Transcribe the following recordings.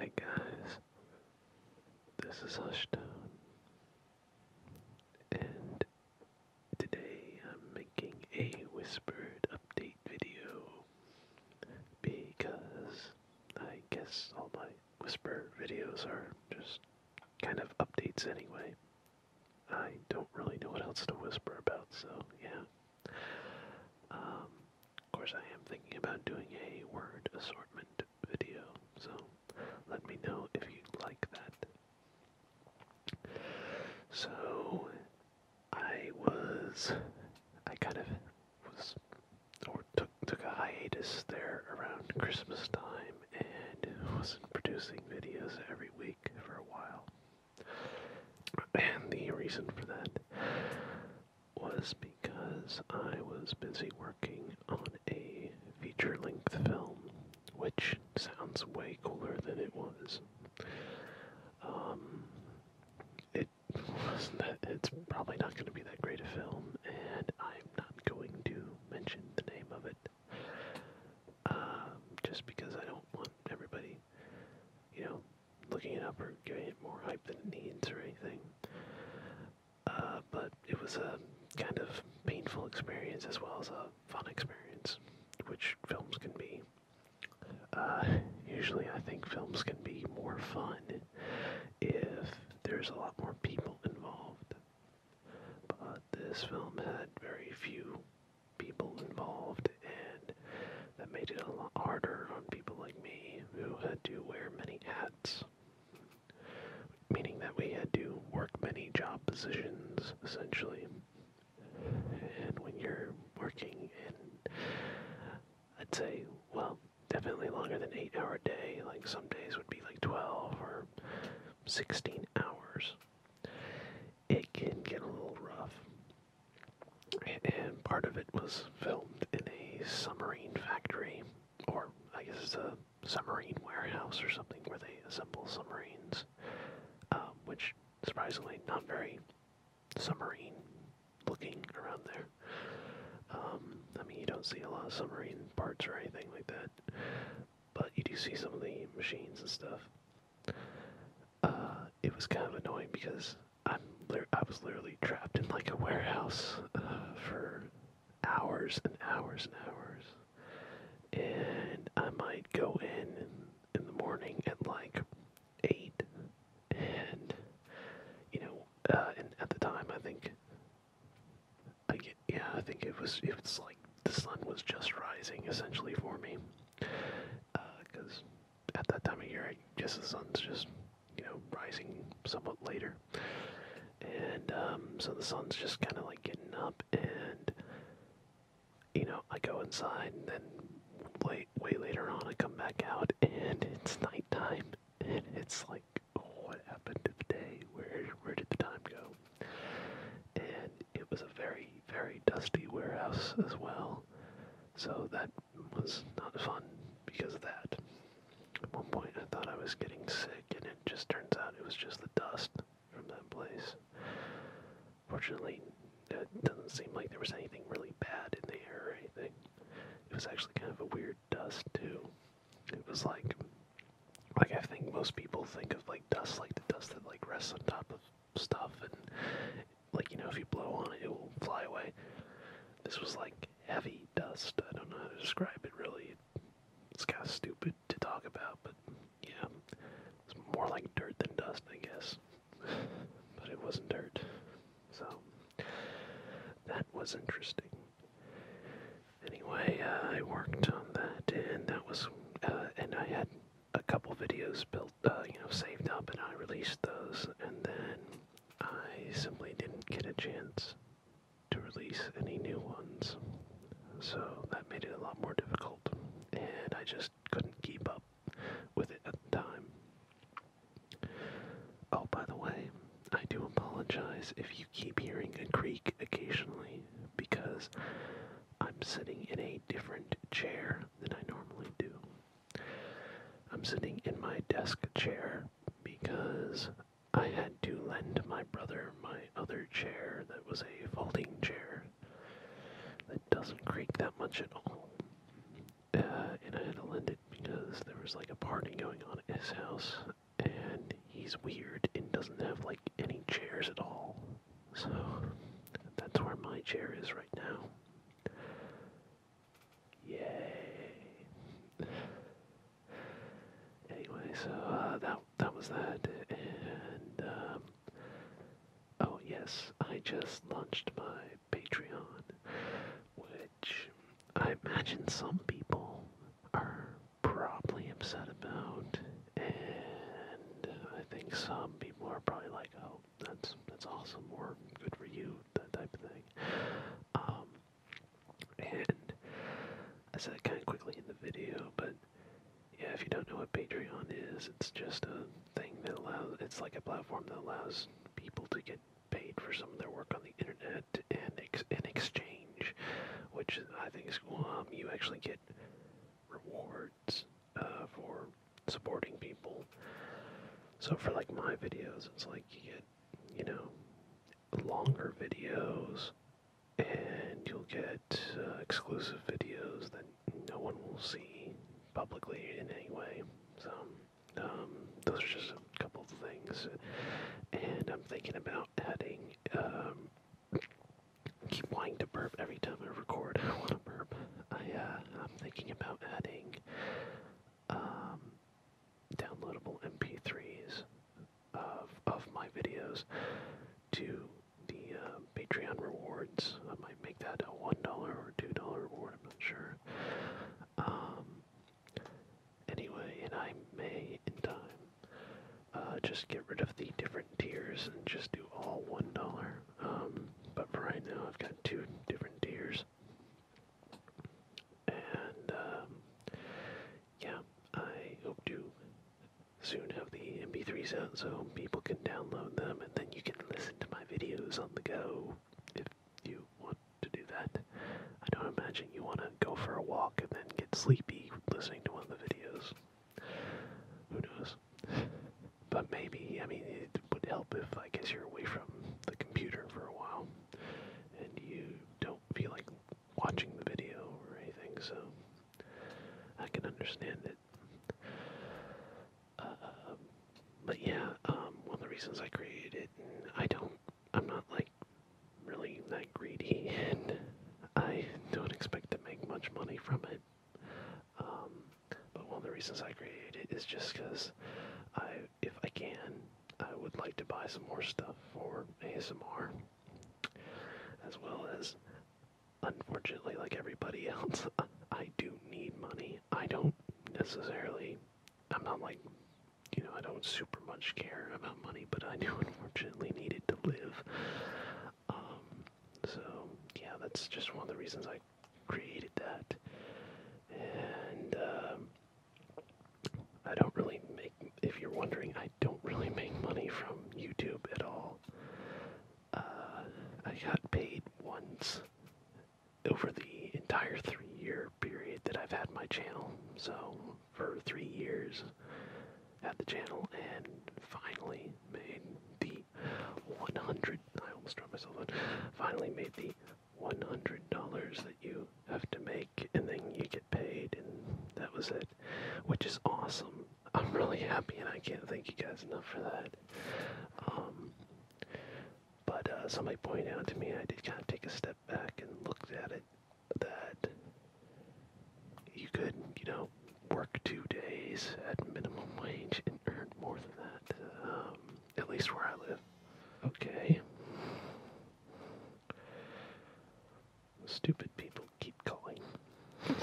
Hi guys, this is Hushdown, and today I'm making a whispered update video because I guess all my whisper videos are just kind of updates anyway. I don't really know what else to whisper about, so yeah. Um, of course, I am thinking about doing a word assortment video, so let me know if you like that. So, I was. I kind of was or took took a hiatus there around Christmas time and wasn't producing videos every week for a while. And the reason for that was because I was busy working on a feature length film, which sounds way cooler than it was. Um, it wasn't that, it's probably not going to be that great a film, and I not going to mention the name of it, um, just because I don't want everybody, you know, looking it up or giving more hype than it needs or anything. Uh, but it was a kind of painful experience as well as a fun experience, which films can be. Uh, usually, I think films can be more fun if there's a lot more people involved. But this film had very few people involved, and that made it a lot harder on people like me who had to wear many hats. Meaning that we had to work many job positions, essentially. And when you're working in I'd say, well, definitely longer than eight hour day. Like some days would be like 12 or 16 hours. It can get a little rough. And part of it was filmed in a submarine factory, or I guess it's a submarine warehouse or something where they assemble submarines, um, which surprisingly not very submarine looking around there. Um, I mean, you don't see a lot of submarine parts or anything like that, but you do see some of the machines and stuff. Uh, it was kind of annoying because I'm I was literally trapped in like a warehouse uh, for hours and hours and hours, and I might go in, in the morning at like eight, and you know uh, at the time. I think. I yeah, I think it was. It was like the sun was just rising essentially for me, because uh, at that time of year, I guess the sun's just you know rising somewhat later, and um, so the sun's just kind of like getting up, and you know I go inside, and then late, way later on I come back out, and it's nighttime, and it's like what happened to the day? Where where did the time go? And it was a very very dusty warehouse as well, so that was not fun because of that. At one point, I thought I was getting sick, and it just turns out it was just the dust from that place. Fortunately, it doesn't seem like there was anything really bad in there or anything. It was actually kind of a weird dust too. It was like, like I think most people think of like dust, like the dust that like rests on top of stuff, and like you know if you blow on it, it will fly away. This was like heavy dust. I don't know how to describe it really. It's kind of stupid to talk about, but yeah, it's more like dirt than dust, I guess. But it wasn't dirt. So that was interesting. Anyway, uh, I worked on that, and that was, uh, and I had a couple videos built, uh, you know, saved up, and I released those, and then I simply didn't get a chance to release any new ones. So that made it a lot more difficult, and I just couldn't keep up with it at the time. Oh, by the way, I do apologize if you keep hearing a creak occasionally because I'm sitting in a different chair than I normally do. I'm sitting in my desk chair because I had to lend my brother my other chair that was a folding chair that doesn't creak that much at all uh, and I had to lend it because there was like a party going on at his house, and he's weird and doesn't have like any chairs at all. So that's where my chair is right now. Yay! Anyway, so uh, that that was that, and um, oh yes, I just launched my Patreon, which I imagine some people are probably upset about, and I think some people are probably like, "Oh, that's that's awesome," or "Good for you," that type of thing. Um, and I said it kind of quickly in the video, but yeah, if you don't know what Patreon is, it's just a thing that allows. It's like a platform that allows people to get paid for some of their work on the internet and in exchange, which I think is cool. Um, you actually get rewards uh, for supporting people. So for like my videos, it's like you get, you know, longer videos, and you'll get uh, exclusive videos that no one will see publicly in any way. So. Um, um, those are just a couple things, and I'm thinking about adding. Um, keep wanting to burp every time I record. I want to burp. I uh, I'm thinking about adding um, downloadable MP3s of of my videos to the uh, Patreon rewards. I might make that a one dollar or two dollar reward. I'm not sure. Um, anyway, and I may in time uh, just get rid of the different tiers and just do all one dollar. Um, but for right now, I've got two different tiers, and um, yeah, I hope to soon have the MP3s out so people can download them, and then you can listen to my videos on the go you want to do that. I don't imagine you want to go for a walk and then get sleepy listening to one of the videos. Who knows? But maybe, I mean, it would help if I guess you're away from the computer for a while and you don't feel like watching the video or anything, so I can understand it. Um, but yeah, um, one of the reasons I created it, I don't, I'm not like really that greedy, I don't expect to make much money from it. Um, but one of the reasons I created it is just because I, if I can, I would like to buy some more stuff for ASMR, as well as, unfortunately, like everybody else, I do need money. I don't necessarily I'm not like, you know, I don't super much care about money, but I do unfortunately need to live. Um, so, yeah, that's just one of the reasons I created that. And, um, I don't really make, if you're wondering, I don't really make money from YouTube at all. Uh, I got paid once over the entire three year period that I've had my channel. So, for three years, had the channel and finally made the 100 I almost dropped myself on. Finally made the $100 that you have to make and then you get paid, and that was it, which is awesome. I'm really happy and I can't thank you guys enough for that. Um, but uh, somebody pointed out to me, I did kind of take a step back and looked at it, that you could, you know, work two days at minimum wage and earn more than that, um, at least where I live. Okay. Stupid people keep calling.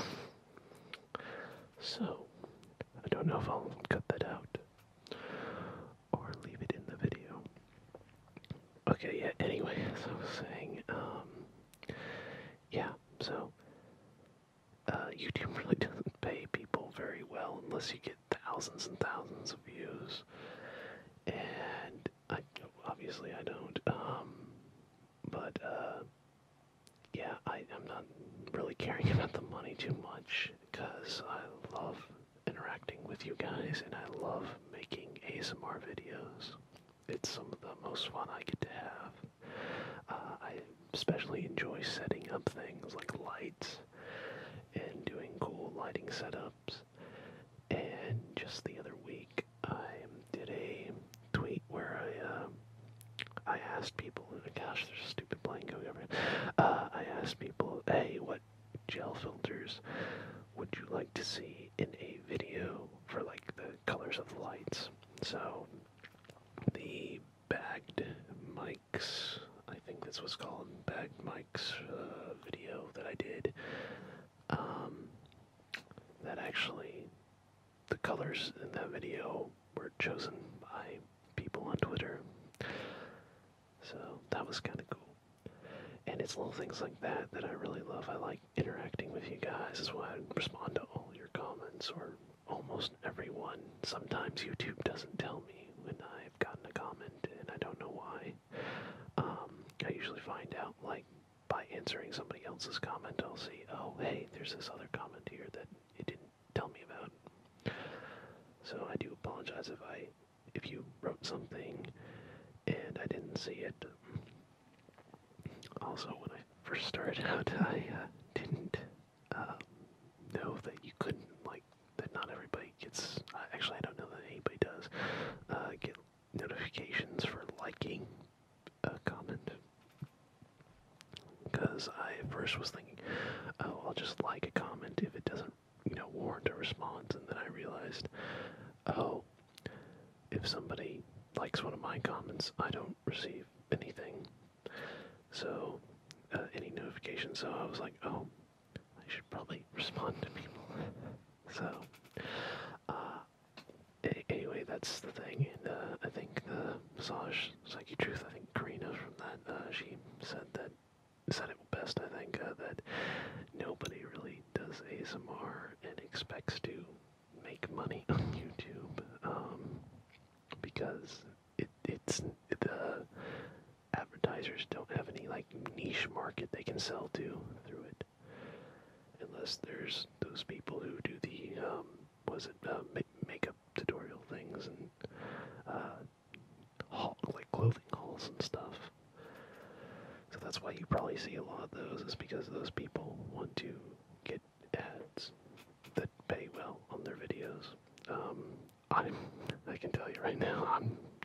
So, I don't know if I'll cut that out, or leave it in the video. Okay, yeah, anyway, as I was saying, um, yeah, so, uh, YouTube really doesn't pay people very well unless you get thousands and thousands of views, and I, obviously I don't, um, but, uh, yeah, I, I'm not really caring about the money too much, because I love interacting with you guys and I love making ASMR videos. It's some of the most fun I get to have. Uh, I especially enjoy setting up things like lights and doing cool lighting setups. And just the other week, I did a tweet where I uh, I asked people gosh, there's a stupid blank uh, I asked people, hey, what gel filters would you like to see in a video for like the colors of the lights? So the bagged mics, I think that's what's called bagged mics uh, video that I did. Um, that actually, the colors in that video were chosen by people on Twitter. So that was kind of cool. And it's little things like that that I really love. I like interacting with you guys. Is why I respond to all your comments or almost everyone. Sometimes YouTube doesn't tell me when I've gotten a comment and I don't know why. Um, I usually find out like by answering somebody else's comment. I'll see, oh, hey, there's this other comment here that it didn't tell me about. So I do apologize if I if you wrote something and I didn't see it. Also, when I first started out, I uh, didn't uh, know that you couldn't like that. Not everybody gets. actually, I don't know that anybody does uh, get notifications for liking a comment. Because I first was thinking, oh, I'll just like a comment if it doesn't, you know, warrant a response. And then I realized, oh, if somebody likes one of my comments, I don't receive anything. So, uh, any notification. So I was like, oh, I should probably respond to people. so, uh, anyway, that's the thing. And uh, I think the massage Psyche Truth, I think Karina from that, uh, she said that, said it best, I think, uh, that nobody really does ASMR and expects to make money on YouTube, um, because it, it's, the advertisers don't have any, like, niche market they can sell to through it, unless there's those people who do the, um, was it uh, makeup tutorial things and uh, haul, like clothing hauls and stuff. So that's why you probably see a lot of those is because those people want to get ads that pay well on their videos. Um, I'm, I can tell you right now, I'm,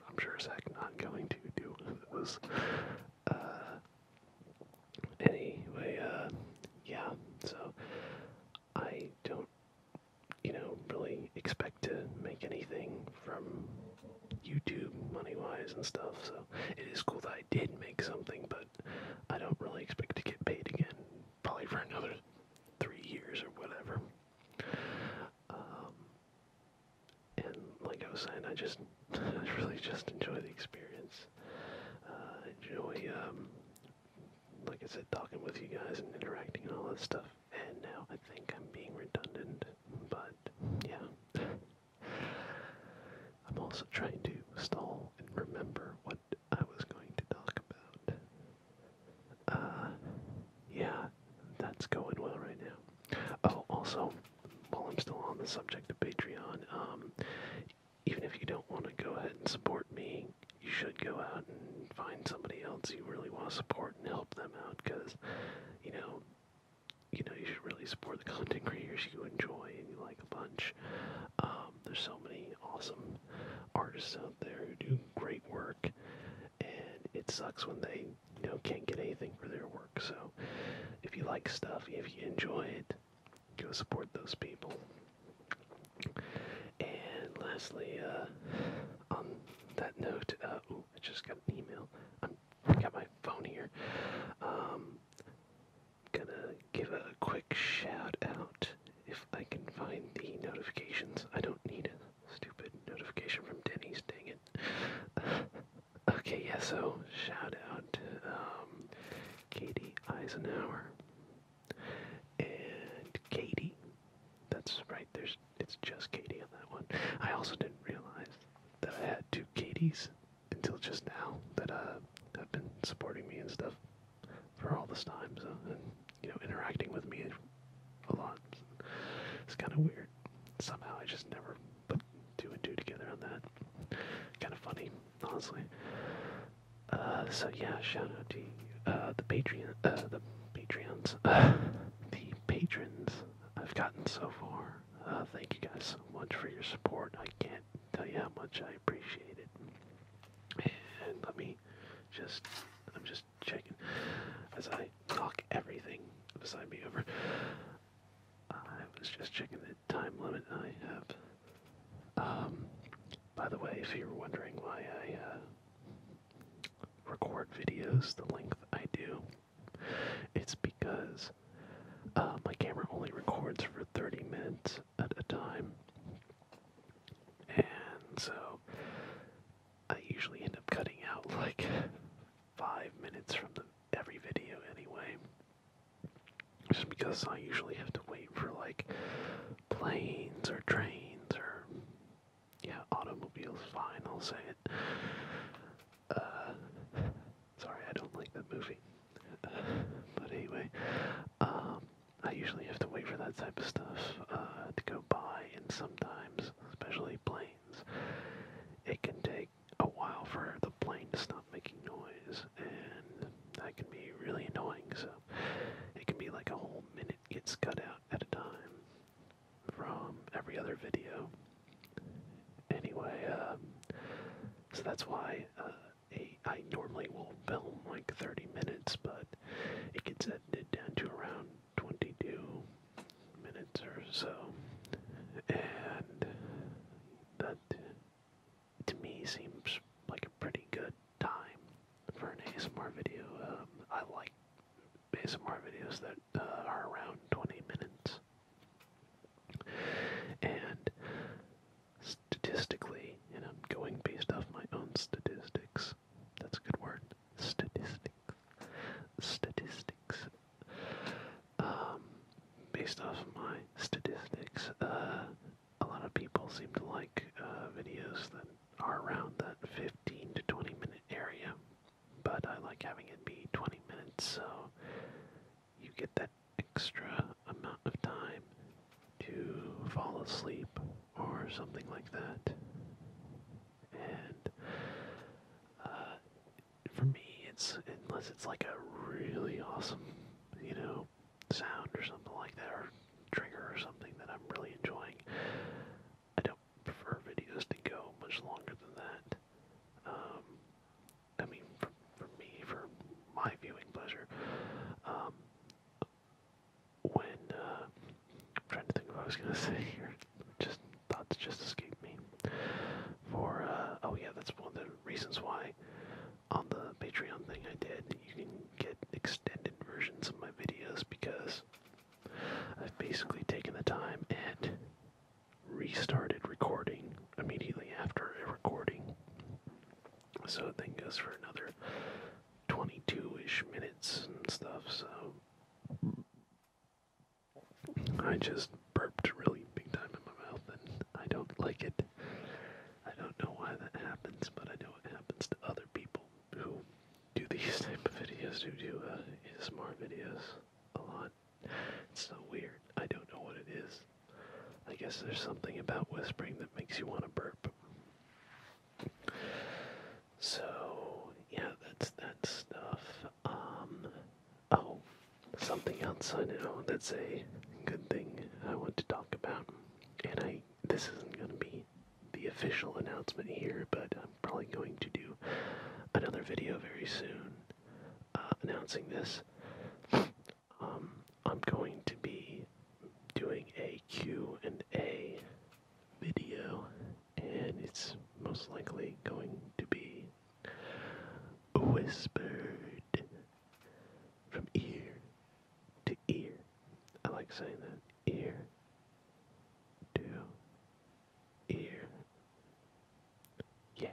I'm sure Zach not going to do those. Uh, anyway, yeah, so I don't, you know, really expect to make anything from YouTube money wise and stuff, so it is cool that I did make something, but I don't really expect to get paid again, probably for another three years or whatever. Um, and like I was saying, I just I really just enjoy the experience. Uh, enjoy um, like I said, talking with you guys and interacting and all that stuff. And now I think I'm being redundant, but yeah. I'm also trying to stall and remember what I was going to talk about. Uh, yeah, that's going well right now. Oh, also, while I'm still on the subject of Patreon, um, even if you don't want to go ahead and support me think you should go out and find somebody else you really want to support and help them out because, you know, you know, you should really support the content creators you enjoy and you like a bunch. Um, there's so many awesome artists out there who do great work, and it sucks when they, you know, can't get anything for their work. So, if you like stuff, if you enjoy it, Go support those people. And lastly, uh, on that note, uh, I just got an email. I'm, got my phone here. Um, gonna give a quick shout out if I can find the notifications. I don't need a stupid notification from Denny's. Dang it. okay, Yes. So shout out to um, Katie Eisenhower and Katie. That's right. There's it's just Katie on that one. I also didn't realize that I had two Katies until just now that uh, have been supporting me and stuff for all this time. So and you know interacting with me a lot. It's kind of weird. Somehow I just never put two and two together on that. Kind of funny, honestly. Uh, so yeah, shout out to uh, the Patreon, uh, the Patreons, the patrons I've gotten so far. thank you guys so much for your support. I can't tell you how much I appreciate it. And let me just, I'm just checking as I knock everything beside me over. I was just checking the time limit I have um, by the way, if you're wondering why I uh, record videos the length I do, it's because uh, my camera only records for 30 minutes at a time. And so I usually end up cutting out like five minutes from every video anyway. Just because I usually have to wait for like planes or trains or yeah, automobiles. Fine, I'll say it. Uh, sorry, I don't like that movie. Uh, but anyway, um, I usually have to wait for that type of stuff uh, to go by, and sometimes, especially planes, it can take a while for the plane to stop making noise, and that can be really annoying. So it can be like a whole minute gets cut out at a time from every other video. Anyway, uh, so that's why uh, I normally will film like 30 minutes, but it gets edited down to around 22 minutes or so, and that to me seems like a pretty good time for an ASMR video. Um, I like ASMR videos that uh, are around 20 minutes. And statistically, and I'm going based off my own statistics, that's a good word, statistics, statistics, um, based off my statistics, uh, a lot of people seem to like uh, videos that are around that 15 to 20 minute area, but I like having it be 20 minutes so you get that extra amount of time to fall asleep or something like that. And uh, for me, it's unless it's like a really awesome, you know, sound or something like that, or trigger or something that I'm really enjoying. I don't prefer videos to go much longer than that. Um, I mean, for, for me, for my viewing pleasure. Um, when, uh, I'm trying to think of what I was going to say here, just thoughts just escape me. For, uh, oh yeah, that's one of the reasons why on the Patreon thing I did, you can get extended versions of my videos because I've basically taken the time and restarted recording immediately after a recording. So it then goes for another 22 ish minutes and stuff, so. I just burped really big time in my mouth and I don't like it. I don't know why that happens, but I know it happens to other people who do these type of videos, who do uh, ASMR videos a lot. It's so weird. I don't know what it is. I guess there's something about whispering that makes you want to burp. So yeah, that's that stuff. Um, oh, something else I know that's a good thing I want to talk about. And I this isn't going to be the official announcement here, but I'm probably going to do another video very soon uh, announcing this. Um, I'm going to be doing a Q and A video, and it's most likely going to be whispered from ear to ear. I like saying that. Ear to ear. Yeah.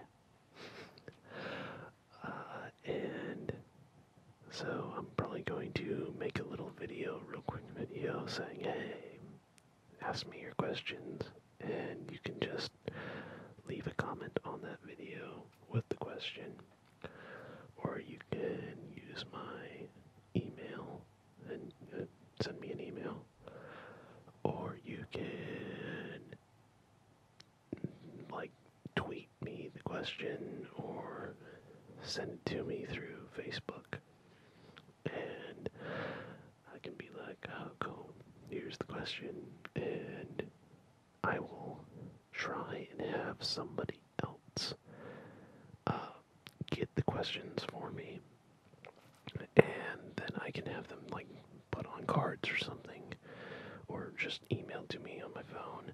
Uh, and so I'm probably going to make a little video, real quick video, saying, hey, ask me your questions, and you can just leave a comment on that video with the question. Or you can use my email and uh, send me an email. Or you can like tweet me the question or send it to me through Facebook. And I can be like, oh, cool, here's the question, and I will try and have somebody else uh, get the questions for me, and then I can have them like put on cards or something, or just emailed to me on my phone.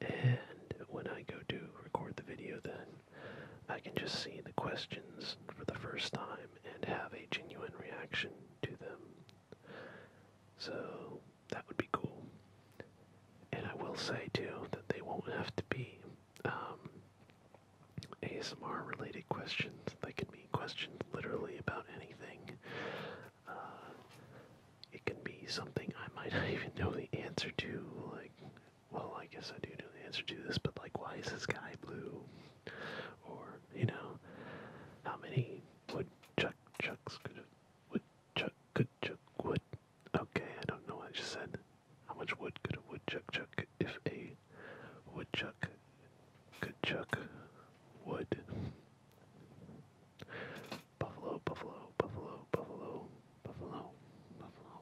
And when I go to record the video, then I can just see the questions for the first time and have a genuine reaction to them. So that would be cool. And I will say too that they won't have to be um, ASMR related questions. They can be questions literally about anything. Uh, it can be something I might not even know the answer to. Like, well, I guess I do know the answer to this, but like, why is the sky blue? Or, you know, how many would chuck, chucks, good, wood, chuck, good, chuck, wood. Okay, I don't know what I just said. How much wood could a woodchuck chuck if a woodchuck could chuck wood? Buffalo, buffalo, buffalo, buffalo, buffalo, buffalo.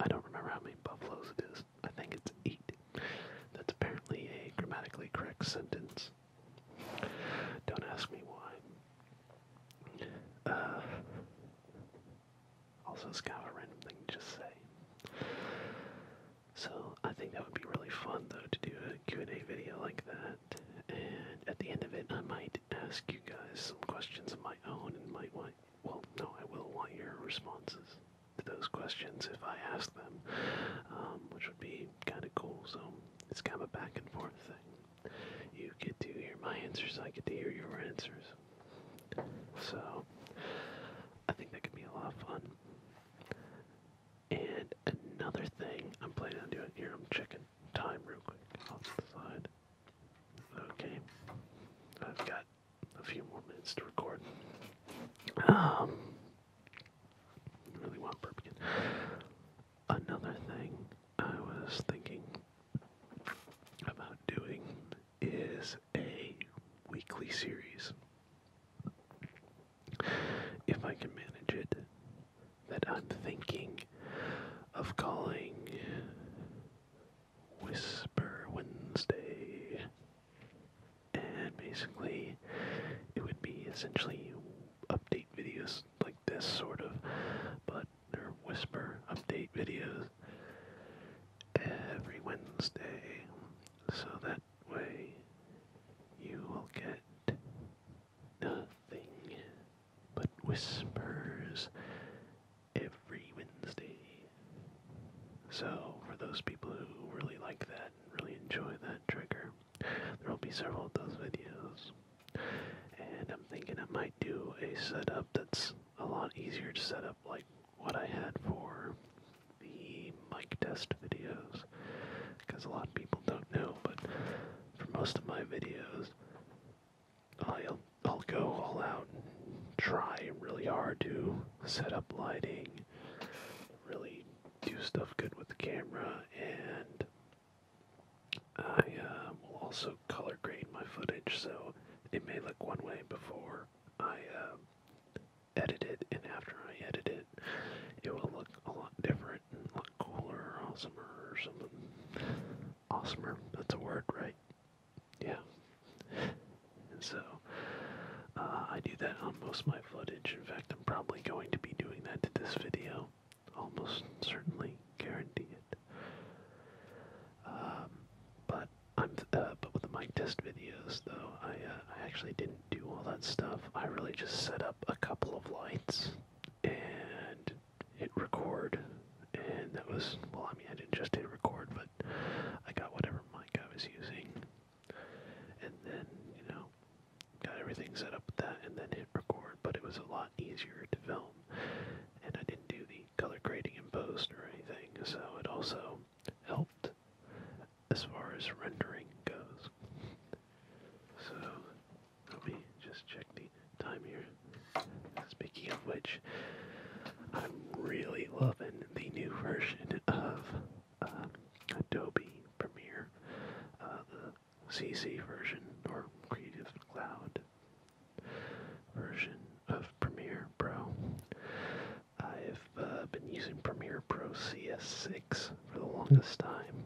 I don't remember how many buffaloes it is. I think it's eight. That's apparently a grammatically correct sentence. Don't ask me why. Uh, also, it's kind of a random thing to just say. So I think that would be really fun, though, to do a Q&A video like that. And at the end of it, I might ask you guys some questions of my own and might want, well, no, I will want your responses to those questions if I ask them, um, which would be kind of cool. So it's kind of a back and forth thing. You get to hear my answers, I get to hear your answers. So I think that could be a lot of fun. And another thing I'm planning on doing here, I'm checking time real quick off to the side. Okay, I've got a few more minutes to record. Um, really want Burpkin. Another thing I was thinking about doing is a weekly series. If I can manage it, that I'm thinking of calling Whisper Wednesday and basically it would be essentially update videos like this sort of but or whisper update videos every Wednesday so that way you will get nothing but whispers every Wednesday. So for those people who really like that really enjoy that trigger. There will be several of those videos. And I'm thinking I might do a setup that's a lot easier to set up like what I had for the mic test videos. Because a lot of people don't know, but for most of my videos, I'll, I'll go all out and try really hard to set up lighting, really do stuff good with the camera, and I uh, will also color grade my footage, so it may look one way before I um, edit it, and after I edit it, it will look a lot different and look cooler, or awesomer, or something. Awesomer, that's a word, right? Yeah. And so uh, I do that on most of my footage. In fact, I'm probably going to be doing that to this video. Almost certainly guarantee it. Um, but I'm uh, but with the mic test videos though, I uh, I actually didn't do all that stuff. I really just set up a couple of lights and hit record, and that was well. I mean, I didn't just hit record, but I got whatever mic I was using and then, you know, got everything set up with that and then hit record, but it was a lot easier to film. And I didn't do the color grading in post or anything, so it also helped as far as rendering goes. So let me just check the time here. Speaking of which, I'm really loving the new version of um, Adobe Premiere, uh, the CC version or Creative Cloud version of Premiere Pro. I've uh, been using Premiere Pro CS6 for the longest time,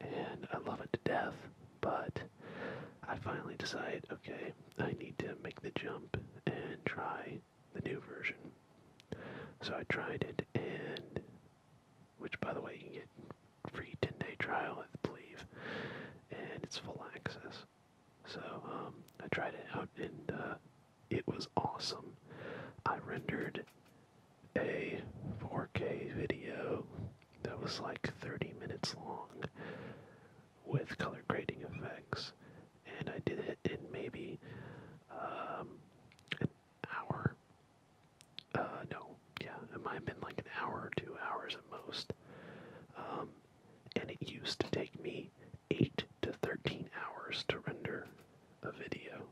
and I love it to death, but I finally decide, okay, I need to make the jump and try the new version. So I tried it, and which, by the way, you can get free 10-day trial, I believe, and it's full access. So um, I tried it out, and uh, it was awesome. I rendered a 4K video that was like 30 minutes long with color grading effects and I did it in maybe um, an hour. Uh, no, yeah, it might have been like an hour two hours at most. Um, and it used to take me 8 to 13 hours to render a video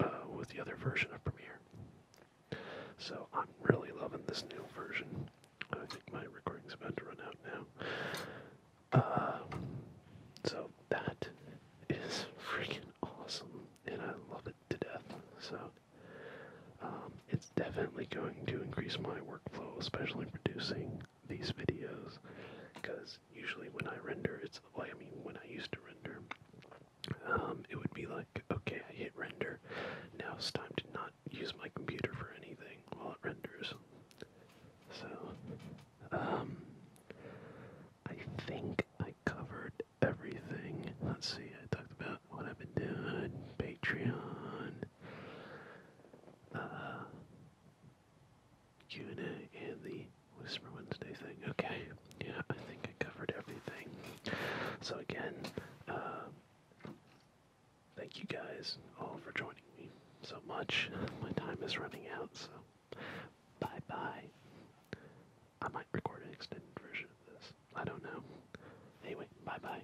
uh, with the other version of Premiere. So I'm really loving this new version. I think my recording's about to run out now. Uh, so that is freaking awesome, and I love it to death. So um, it's definitely going to increase my workflow, especially producing these videos, because usually when I render, it's like I mean when I used to render, um, it would be like okay, I hit render. Now it's time to not use my computer for anything while it renders. So um, I think I covered everything. Let's see, I talked about what I've been doing, Patreon, uh, Q&A, and the Whisper Wednesday thing. Okay, yeah, I think I covered everything. So again, uh, thank you guys all for joining so much. My time is running out, so bye bye. I might record an extended version of this. I don't know. Anyway, bye bye.